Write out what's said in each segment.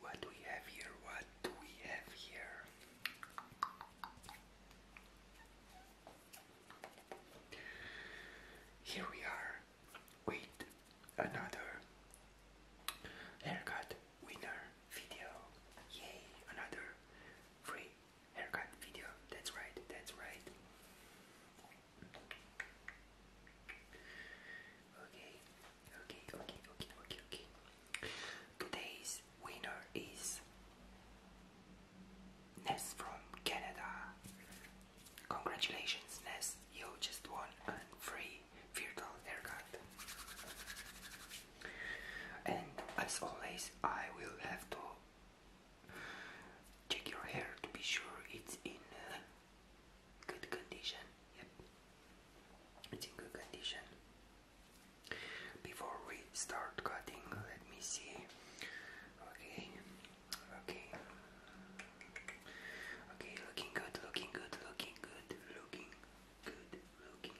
What do we have here? What do we have here? Here we are Wait, another haircut winner video. Yay, another free haircut video. That's right, that's right. Okay, okay, okay, okay, okay, okay. Today's winner is Ness from Canada. Congratulations, Ness, you just won a free virtual haircut. And as always, I will have to Check your hair to be sure it's in uh, good condition. Yep, it's in good condition. Before we start cutting, let me see. Okay, okay, okay. Looking good, looking good, looking good, looking good, looking.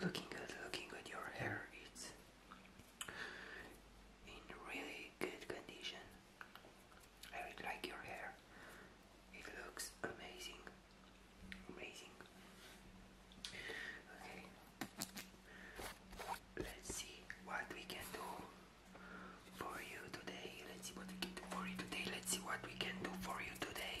Looking good, looking good. Your hair its in really good condition. I really like your hair. It looks amazing. Amazing. Okay. Let's see what we can do for you today. Let's see what we can do for you today. Let's see what we can do for you today.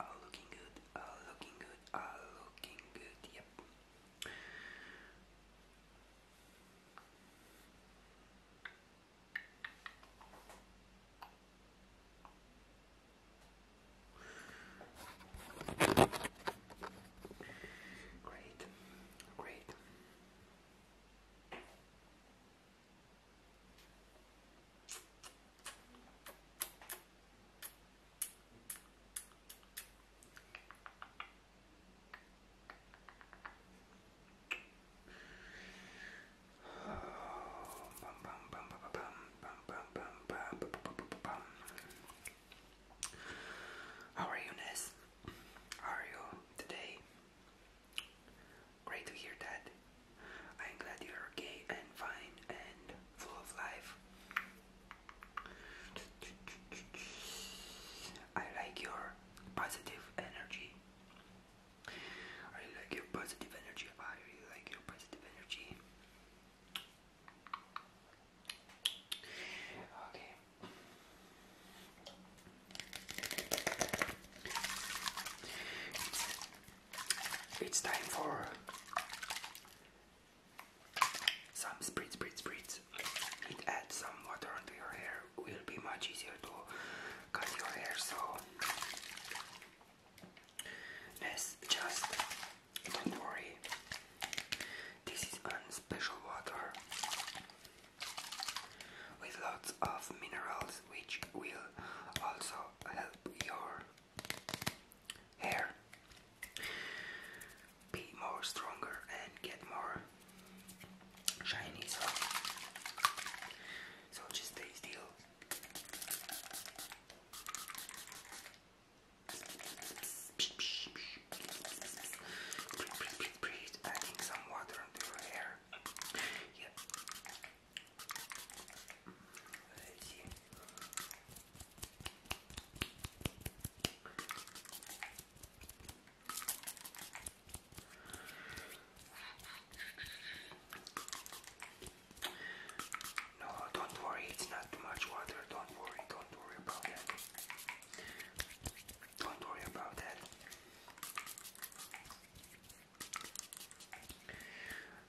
All looking good, all looking good, all looking good, yep. Great, great. How are you, Ness? How are you today? Great to hear that. I'm glad you're okay and fine and full of life. I like your positive energy. I like your positive energy. I really like your positive energy. Okay. It's time for some spritz, spritz, spritz. It adds some water onto your hair. Will be much easier to cut your hair. So let's just don't worry. This is a special water with lots of minerals which will also help your hair be more stronger and get more shiny so so just stay still adding some water into your hair yep Vas-y. No, don't worry, it's not too much water. Don't worry, don't worry about that. Don't worry about that.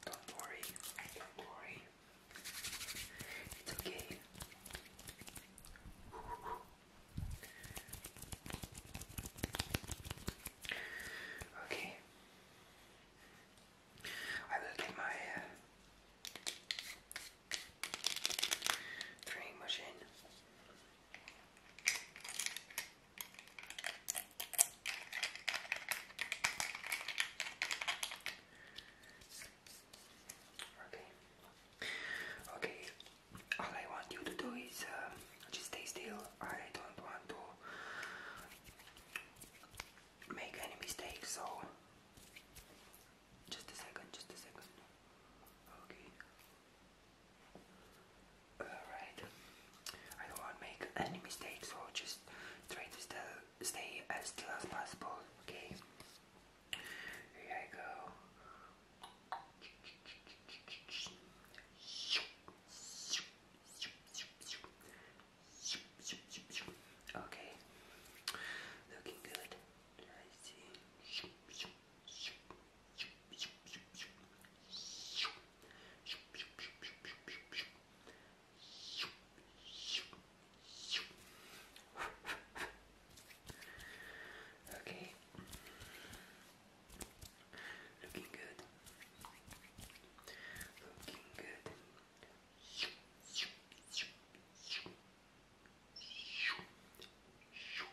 Don't worry, don't worry. It's okay. Okay. I will get my uh, machine. Okay. Okay. All I want you to do is uh, just stay still. I don't want to make any mistakes. So just a second. Just a second. Okay. Alright. I don't want to make any mistakes, so just try to stay as still as possible, okay? Here I go. Okay, looking good. I see. Okay, looking good, looking good. Shoo, shoo, shoo, shoo, shoo, shoo.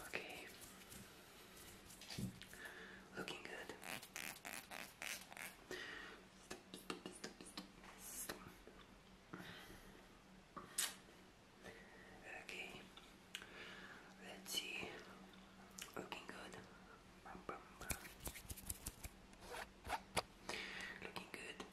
Okay. Looking good. Okay, let's see. Looking good. Looking good.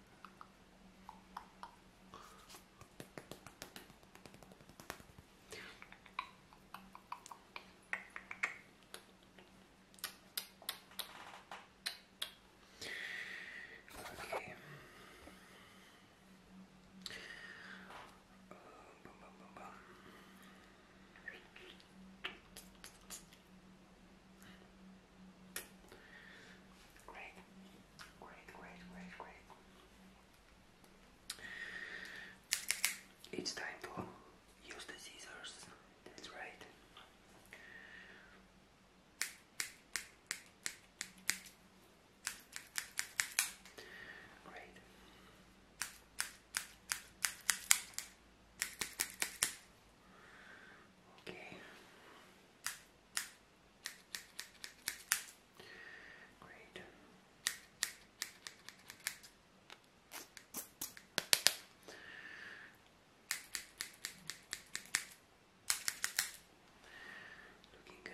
Great, great, great, great, great. It's time for Use the scissors, that's right. Great. Okay. Great. Looking good.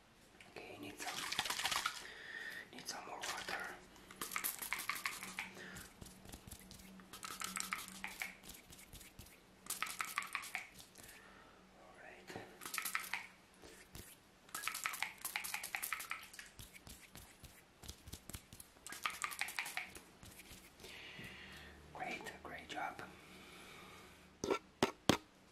Okay, need some need some more water. All right. Great, great job.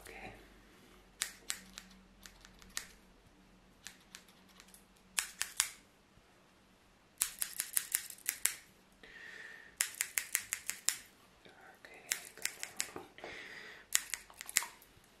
Okay. Okay, come on.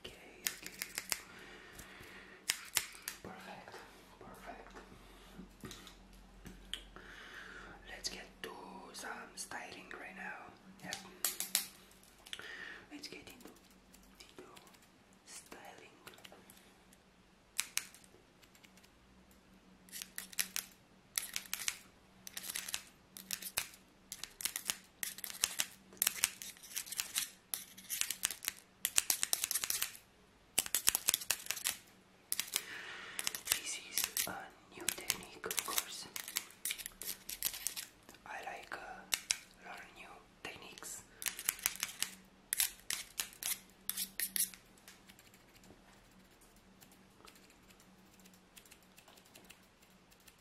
Okay, Perfect, perfect. Let's get to some styling right now. Yep. Let's get into, into styling. This is a new technique, of course. I like uh, learn new techniques.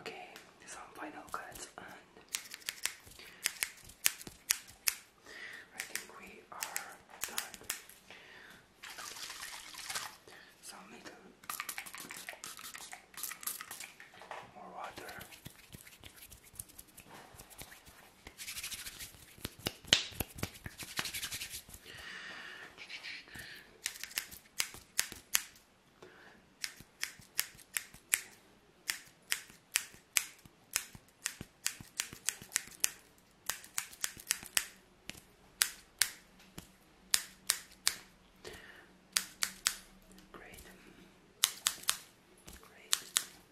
Okay, some final cuts, and I think we are done. Some little more water. Great. Great.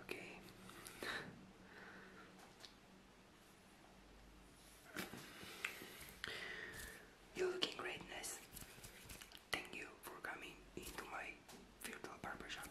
Okay. You're looking greatness. Thank you for coming into my virtual barbershop.